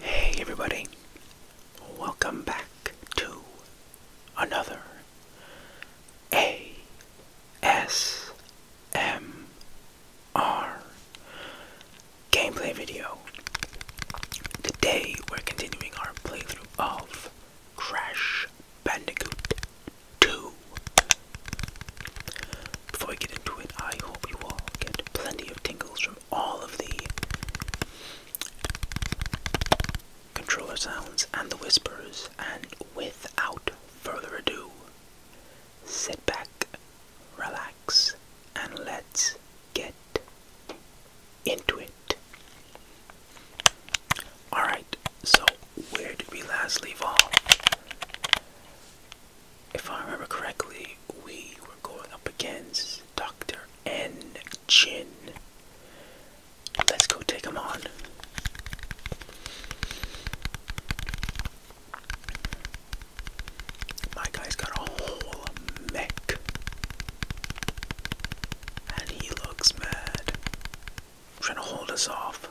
Hey everybody, welcome back to another ASMR gameplay video. Today we're continuing our playthrough of Crash Bandicoot 2. Before we get into it, I hope you all get plenty of tingles from all of the controller sounds and the whispers, and without further ado, sit back, relax, and let's get into it. Alright, so where did we last leave off? If I remember correctly, we were going up against Dr. N. Chin. Let's go take him on. My guy's got a whole mech. And he looks mad. Trying to hold us off.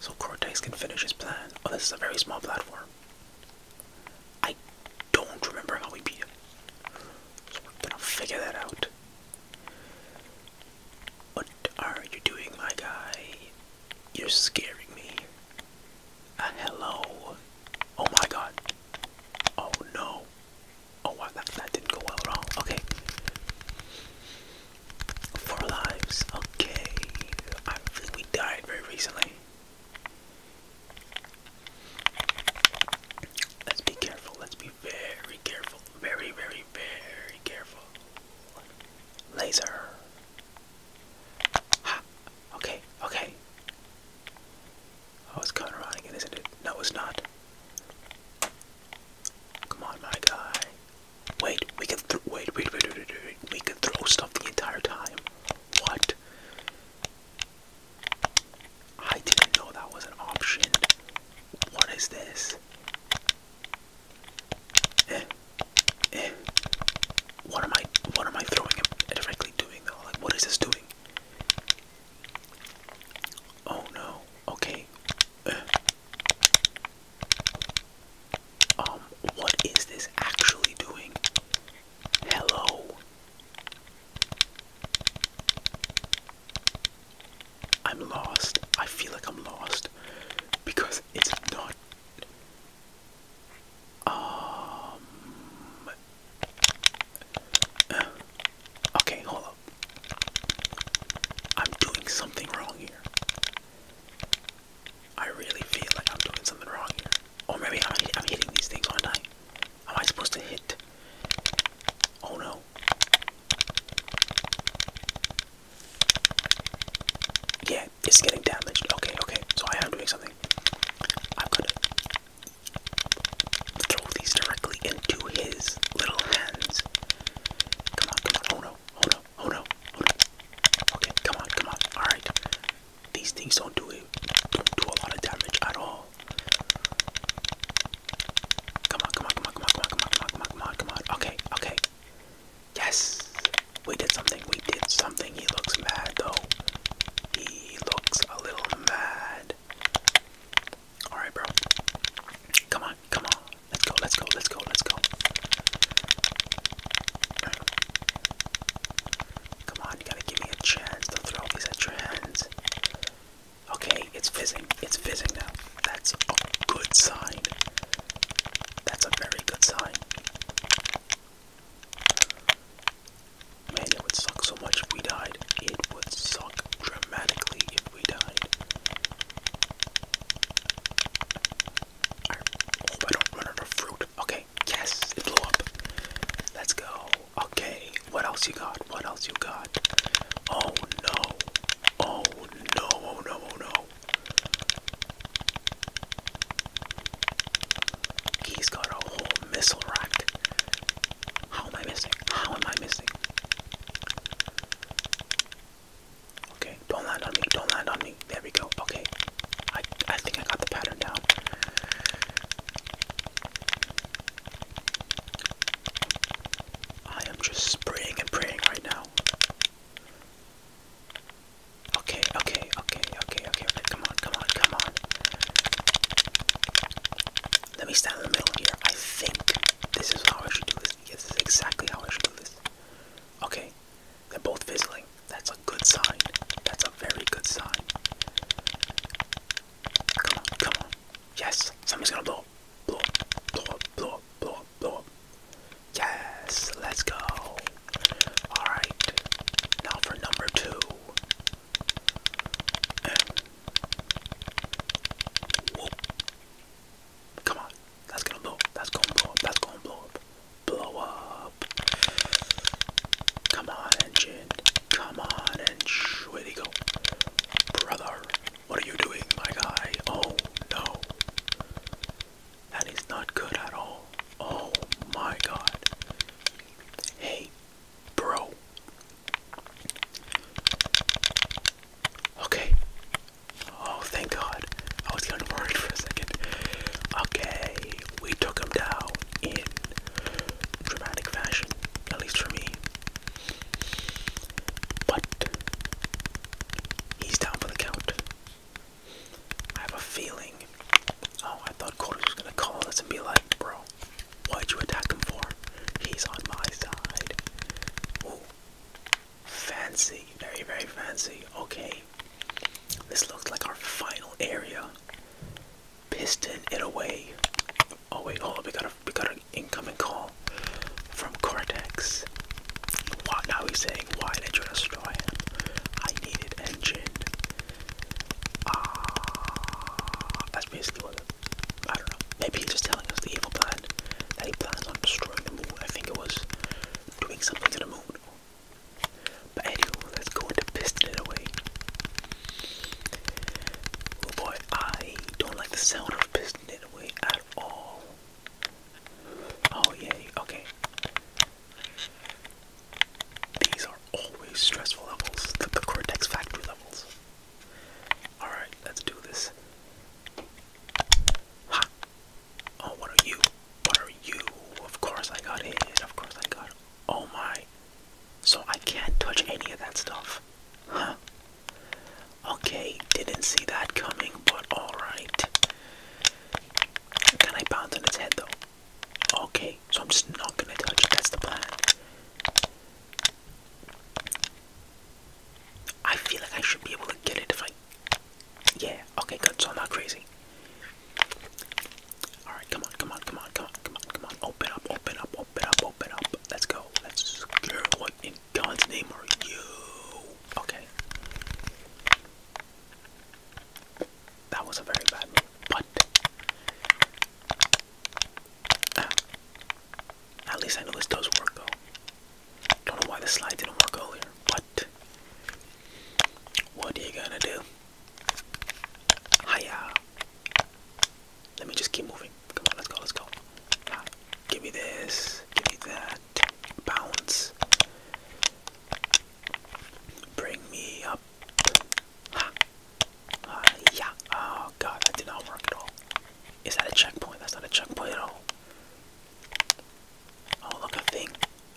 So Cortez can finish his plan. Oh, this is a very small platform. I don't remember how we beat him. we're gonna figure that out. What are you doing, my guy? You're scaring me. Uh, hello. Oh my god. Oh no. Oh that, that didn't go well at all. Okay. Four lives. Okay. I think we died very recently. Let's be careful. Let's be very careful. Very, very, very careful. Laser. Ha. Okay, okay. Oh, it's coming around again, isn't it? No, it's not. Come on, my guy. Wait, we can th wait, wait, wait, wait, wait, We can throw stuff the entire time. What? I didn't know that was an option. What is this? Eh, eh. What am I what am I throwing at what is this doing? Oh no. Okay. Uh. Um, what is this actually doing? Hello. I'm lost. I feel like I'm lost because it's not um, okay, hold up. I'm doing something wrong here. I really feel like I'm doing something wrong here. Or maybe I'm, hitting these things, aren't I? Am I supposed to hit? Oh no. Yeah, Okay, it's getting damaged. Okay, okay, so I am doing something. I'm gonna throw these directly into his little hands. Come on, come on, oh no, oh no, oh no, oh no. Okay, come on, come on, alright. These things don't do it, don't do a lot of damage at all. Come on, come on, come on, come on, come on, come on, come on, come on, come on, come on. Okay, okay. Yes, we did something. We did something. He looks mad though. He looks a little mad. All right, bro. Come on, come on. Let's go. Let's go. Let's go. Let's go. Come on, you gotta give me a chance to throw these at your hands. Okay, it's fizzing. It's fizzing now. That's a good sign. That's a very good sign. Man, it would suck so much if we died. It would suck dramatically if we died. I hope I don't run out of fruit. Okay, yes, it blew up. Let's go. Okay, what else you got? What else you got? Oh no. Oh no, oh, no, oh, no. He's got a whole missile rack. How am I missing? How am I missing? Okay, don't land on me, don't land on me. There we go. Okay. I I think I got the pattern down. I am just spraying and praying right now. Okay, okay, okay, okay, okay, okay, come on, come on, come on. Let me stand in the middle here. I think this is how I should do this. Yes, this is exactly how I should do this. Okay, they're both fizzling. That's a good sign. That's a very good sign. Come on, come on. Yes, something's gonna blow up. Blow up, blow up, blow up, blow up, blow up. Yes, let's go. Alright, now for number two. Come on, that's gonna blow up, that's gonna blow up, that's gonna blow up. Blow up. Come on, engine. Come on, engine. Where'd he go? Brother, what are you doing, my guy? Oh no. That is not good at all. Oh my god. Hey, bro. Okay. Oh, thank god. I was kind of worried for a second. Okay, we took him down in dramatic fashion, at least for me. But he's down for the count. I have a feeling. Oh, I thought Cortex was gonna call us and be like, bro, why would you attack him for? He's on my side. Ooh. Fancy. Very, very fancy. Okay. This looks like our final area. Piston it away. Oh wait, oh we got a we got an incoming call from Cortex. What now he said why did you destroy it? I needed engine. Ah, uh, that's basically what I don't know. Maybe he's just telling us the evil plan that he plans on destroying the moon. I think it was doing something to the moon. But anyway, let's go into piston it away. Oh boy, I don't like the sound of piston it away at all. Oh yeah. okay. These are always stressful levels, the, cortex factory levels. Alright, let's do this. Ha! Oh, what are you? What are you? Of course I got it. Of course I got. Oh my. So I can't touch any of that stuff. Huh. Okay, didn't see that coming, but alright. Can I bounce on its head though? Okay, so I'm just not gonna touch it. That's the plan. I feel like I should be able to get it if I. Yeah, okay, good. So I'm not crazy. Alright, come on, come on, come on, come on, come on, come on. Open up, open up, open up, open up. Let's go. Let's go. What in God's name are you? Okay. That was a very bad move, but ah. at least I know this does work though. Don't know why the slide didn't work earlier, but what are you gonna do? Hiya! Let me just keep moving. Come on, let's go, let's go. Ah, give me this, give me that bounce. Bring me up. Ha. Uh, yeah. Oh god, that did not work at all. Is that a checkpoint? That's not a checkpoint at all. Oh look a thing.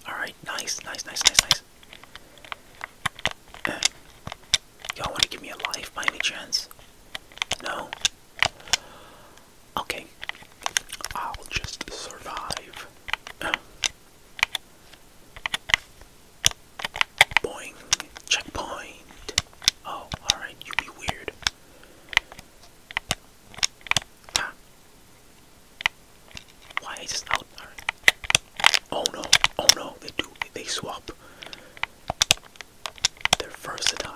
Alright, nice, nice, nice, nice, nice. Uh, y'all wanna give me a life by any chance? No? Okay, I'll just survive. Uh. checkpoint. Oh, alright, you be weird. Ah. Why is this out? Right. Oh no, oh no, they do, they swap. They're versatile.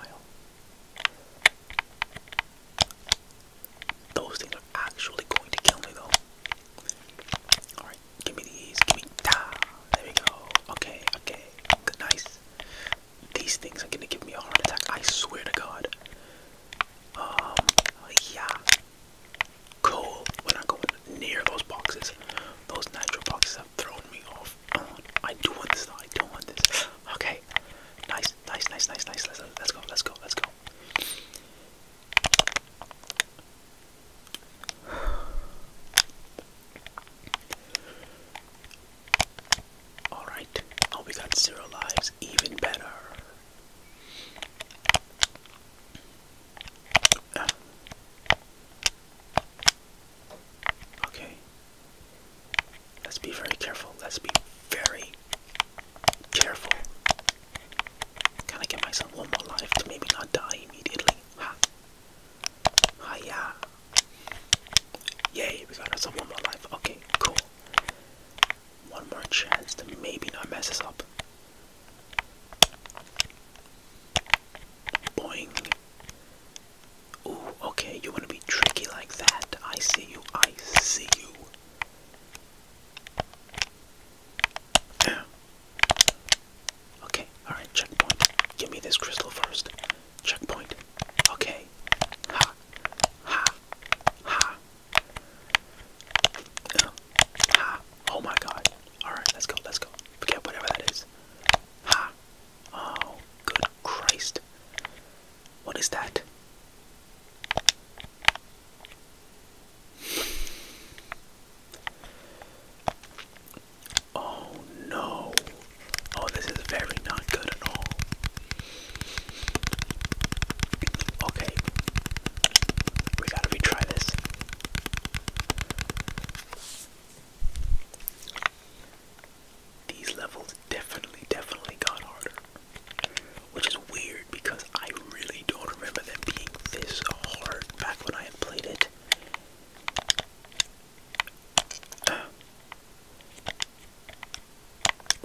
Those things are actually going to kill me though. Alright, give me these. Give me ta. Ah, there we go. Okay, okay. Good, nice. These things are gonna give me a heart attack. I swear to God. Um, yeah. Cool. When i not going near those boxes. Those nitro boxes have thrown me off. I do not want this I do not want this. Okay. Nice, nice, nice, nice, nice. Let's, let's go, let's go, let's go. Alright, oh, we got zero lives, even better. Ah. Okay, Let's be very careful. Let's be very careful. Can I get myself one more life to maybe not die immediately? Ha! Ha yeah! Yay, we got ourselves one more life. Okay, cool. One more chance to maybe not mess us up. Boing. Ooh, okay, you wanna be tricky like that. I see you, I see you. Yeah. Okay, alright, checkpoint. Give me this crystal first. Checkpoint. Okay. Ha. Ha. Ha. Uh, ha. Oh my god. Alright, let's go, let's go. Forget whatever that is. Ha. Oh, good Christ. What is that? Oh no. Oh, this is very not good at all. Okay. We gotta retry this these levels definitely, definitely got harder. Which is weird because I really don't remember them being this hard back when I played it.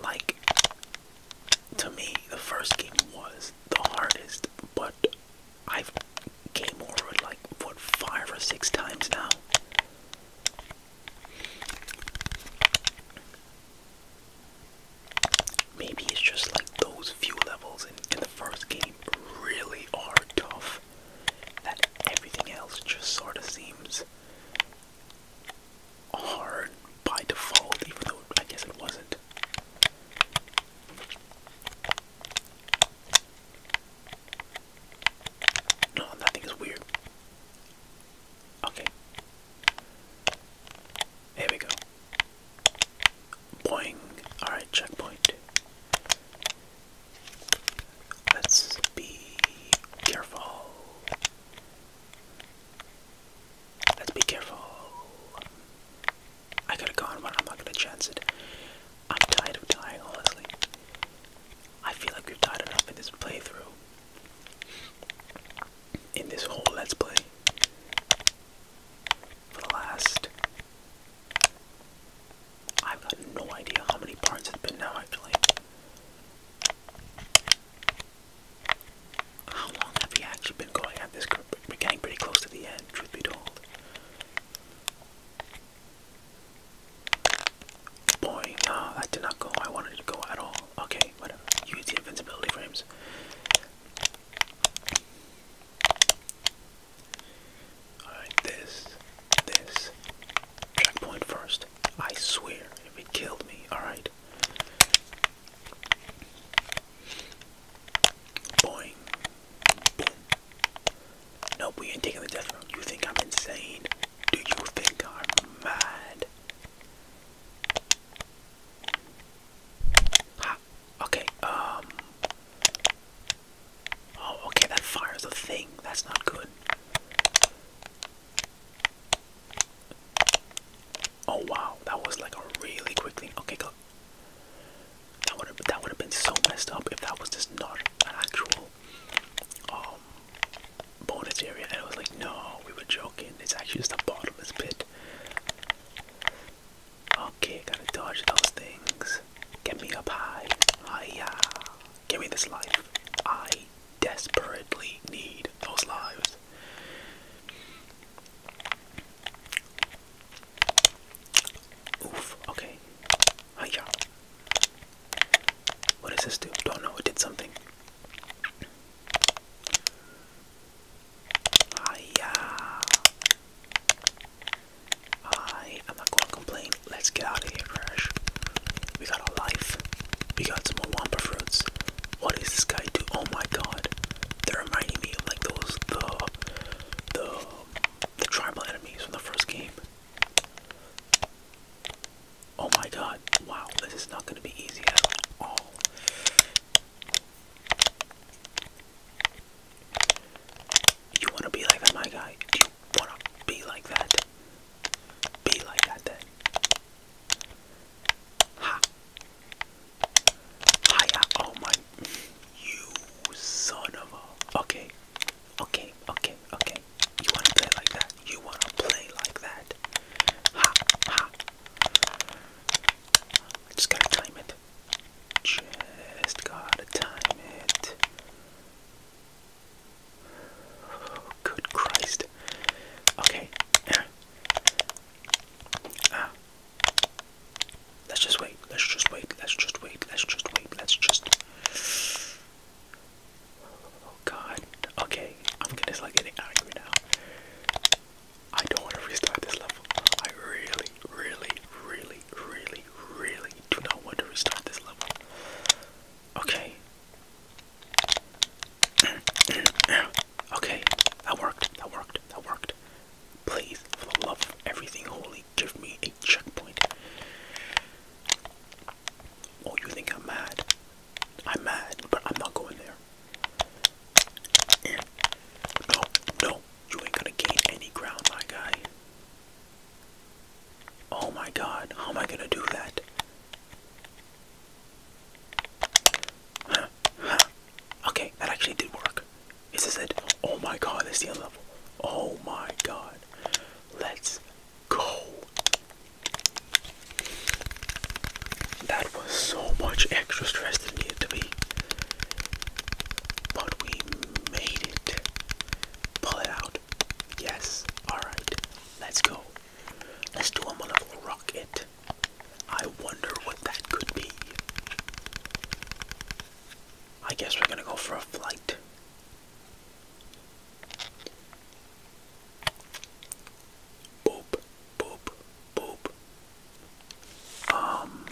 like, to me, the first game was the hardest, but I've came over it like, what, five or six times now? Maybe it's just like those few levels in, the first game really are tough. That everything else just sort of seems hard by default, even though I guess it wasn't. No, nothing is weird. Okay. Here we go. Boing. Alright, checkpoint. Let's be careful. Let's be careful. I could have gone, but I'm not gonna chance it. I'm tired of dying, honestly. I feel like we've tied enough in this playthrough. In this whole Let's Play. For the last. I've got no idea how many parts it's been now, actually. How long have we actually been going at this? We're getting pretty close to the end, truth be told. Boy, no, that did not go. I wanted to go at all. Okay, whatever. Use the invincibility frames. Alright, this, this. Checkpoint first. I swear, if it killed me, alright. Boing. Nope, we ain't taking the death room. You think I'm insane? Do you think I'm mad? okay, um. Oh, okay, that fires a thing. That's not good. Oh wow, that was like a really quick thing. Okay, That would have that would have been so messed up if that was just not an actual uh, bonus area, and I was like, no, we were joking. It's actually just a bottomless pit. Okay, gotta dodge those things. Get me up high. Hiya. Give me this life. I desperately need those lives. Oof, okay. Hiya. What does this do? Don't know. It did something. Hiya. I am not going to complain. Let's get out of here, Crash. We got a life. We got some more Wampa fruits. What does this guy do? Oh my god. They're reminding me of like those, the, the, the tribal enemies from the first game. Oh my god, wow, this is not going to be easy at all. You want to be like my guy? Do you want to be like that? Be like that then. Ha! Hiya! Oh my. You son of a. Okay. Okay, okay, okay. You wanna play like that? You wanna play like that? Ha, ha. just gotta time it. Just gotta time it. Oh, good Christ. Okay. Ah. ah. Let's just wait. Let's just wait. Let's just wait. Let's just wait. Let's just. Oh god. Okay, I'm gonna start getting angry now. I don't want to restart this level. I really, really, really, really, really do not want to restart this level. Okay. okay, that worked. That worked. That worked. Please, for the love of everything holy, give me a checkpoint. Oh, you think I'm mad? I'm mad, but I'm not going there. no, no, you ain't gonna gain any ground, my guy. Oh my god, how am I gonna do that? Okay, that actually did work. Is this it? Oh my god, that's the end level. Oh my god. Let's go. That was so much extra stress that needed to be. But we made it. Pull it out. Yes. Alright. Let's go. Let's do a motherfucking rocket. I wonder what that could be. I guess we're gonna go for a flight. Boop, boop, boop. Um.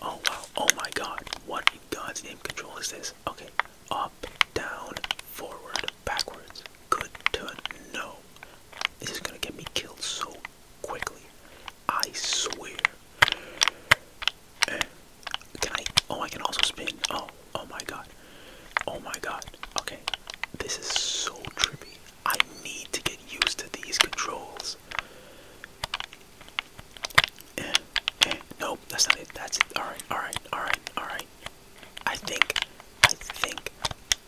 Oh wow. Oh my God. What in God's name control is this? Okay. Up, down, forward, backwards. Good to know. This is gonna get me killed so quickly. I swear. Can I? Oh, I can also spin. Oh, oh my god. Oh my god. Okay. This is so trippy. I need to get used to these controls. Eh, eh, nope, that's not it. That's it. Alright, alright, alright, alright. I think, I think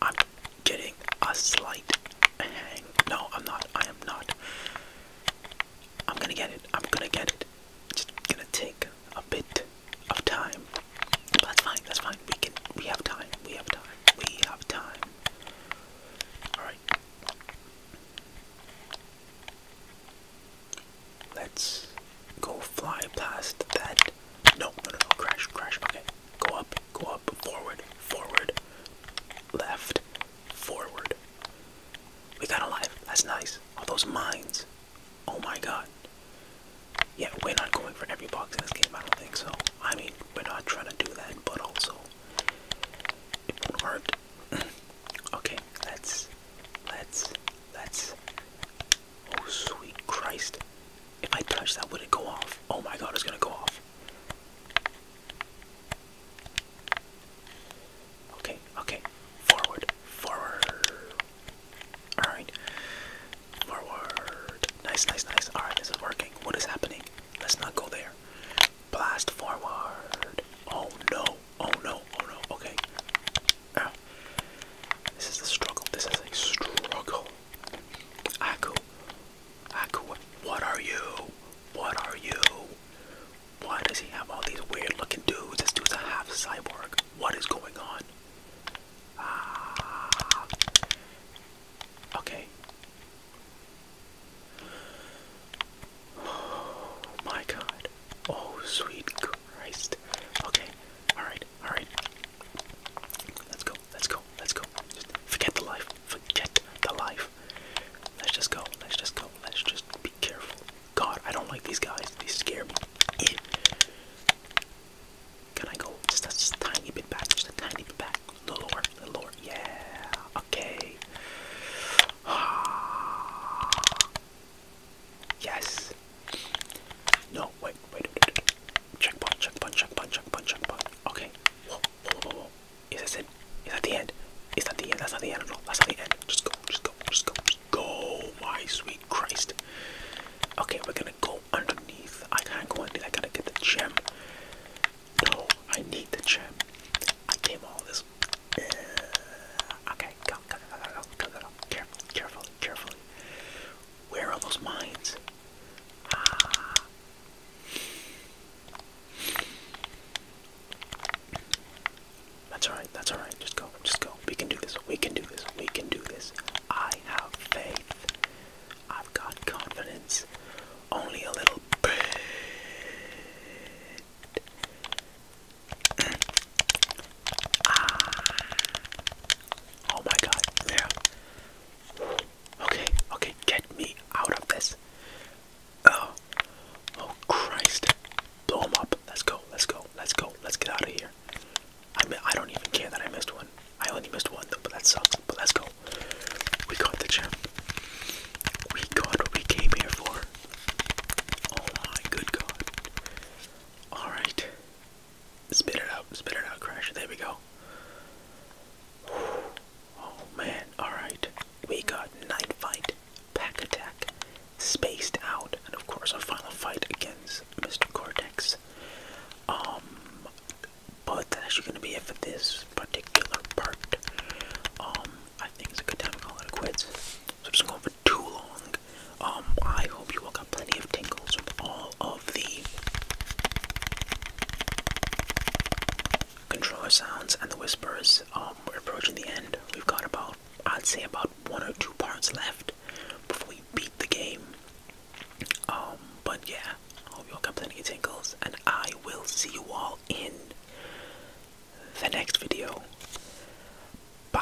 I'm getting a slight hang. No, I'm not. I am not. I'm gonna get it. I'm gonna get it. It's just gonna take a bit of time. But that's fine. That's fine. We can. We have time. We have time. We have time. All right. Let's go fly past that. no, no, no. Crash, crash. Okay. Go up, go up, forward, forward, left, forward. We got alive. That's nice. All those mines. Oh my god. Yeah, we're not going for every box in this game, I don't think so. I mean, we're not trying to do that, but also it will okay, let's let's let's Oh sweet Christ. If I touch that would it go off? Oh my god, it's gonna go off. Okay, okay. Forward, forward. Alright. Forward. Nice, nice, nice. Alright, this is working. What is happening? Let's not go there. Blast forward. Oh no, oh no, oh no. Okay. Ow. Ah. This is a struggle. This is a struggle. Aku. Aku, what are you? What are you? Why does he have all these weird looking dudes? This dude's a half cyborg. What is going on? Ah. Okay. Oh my god. Oh, sweet Christ. Okay. Alright, alright. Let's go, let's go, let's go. forget the life. Forget the life. Let's just go. Let's just go. Let's just be careful. God, I don't like these guys. They scare me. Can I go just a, tiny bit back? Just a tiny bit back. A little lower. A little lower. Yeah. Okay. Ah. Yes. No. Wait. Wait. wait, wait. Checkpoint. Checkpoint. Checkpoint. Checkpoint. Checkpoint. Okay. Whoa. Whoa. Is this it? Is that the end? Is that the end? That's not the end at all. That's not the end. Just go, just go, just go, just go, my sweet Christ. Okay, we're gonna go underneath. I can't go underneath. I gotta get the gem. No, I need the gem. I came all this. Uh, okay, go, go, go, go, go, go, go. Carefully, carefully, carefully. Where are those mines? Ah. That's alright, that's alright. Just go, just go. We can do this, we can do this, we can do this. I have faith. I've got confidence. Only a little bit. Ah. Oh my god, yeah. Okay, okay, get me out of this. Oh, oh Christ! Blow him up! Let's go! Let's go! Let's go! Let's get out of here! I mean, I don't even care that I missed one. I only missed one though, but that sucks. But let's go. We got the gem. We got what we came here for. Oh my good God! All right. Spit it out. Spit it out, Crash. There we go. Oh man, alright. We got Night Fight, Pack Attack, Spaced Out, and of course a final fight against Mr. Cortex. Um but that's actually gonna be it for this particular part. Um, I think it's a good time to call it quits. So just going for too long. Um, I hope you all got plenty of tingles from all of the controller sounds and the whispers. we're approaching the end. We've got about, I'd say, about one or two parts left before we beat the game. Um, but yeah, I hope you all got plenty of tingles, and I will see you all in the next video. Bye.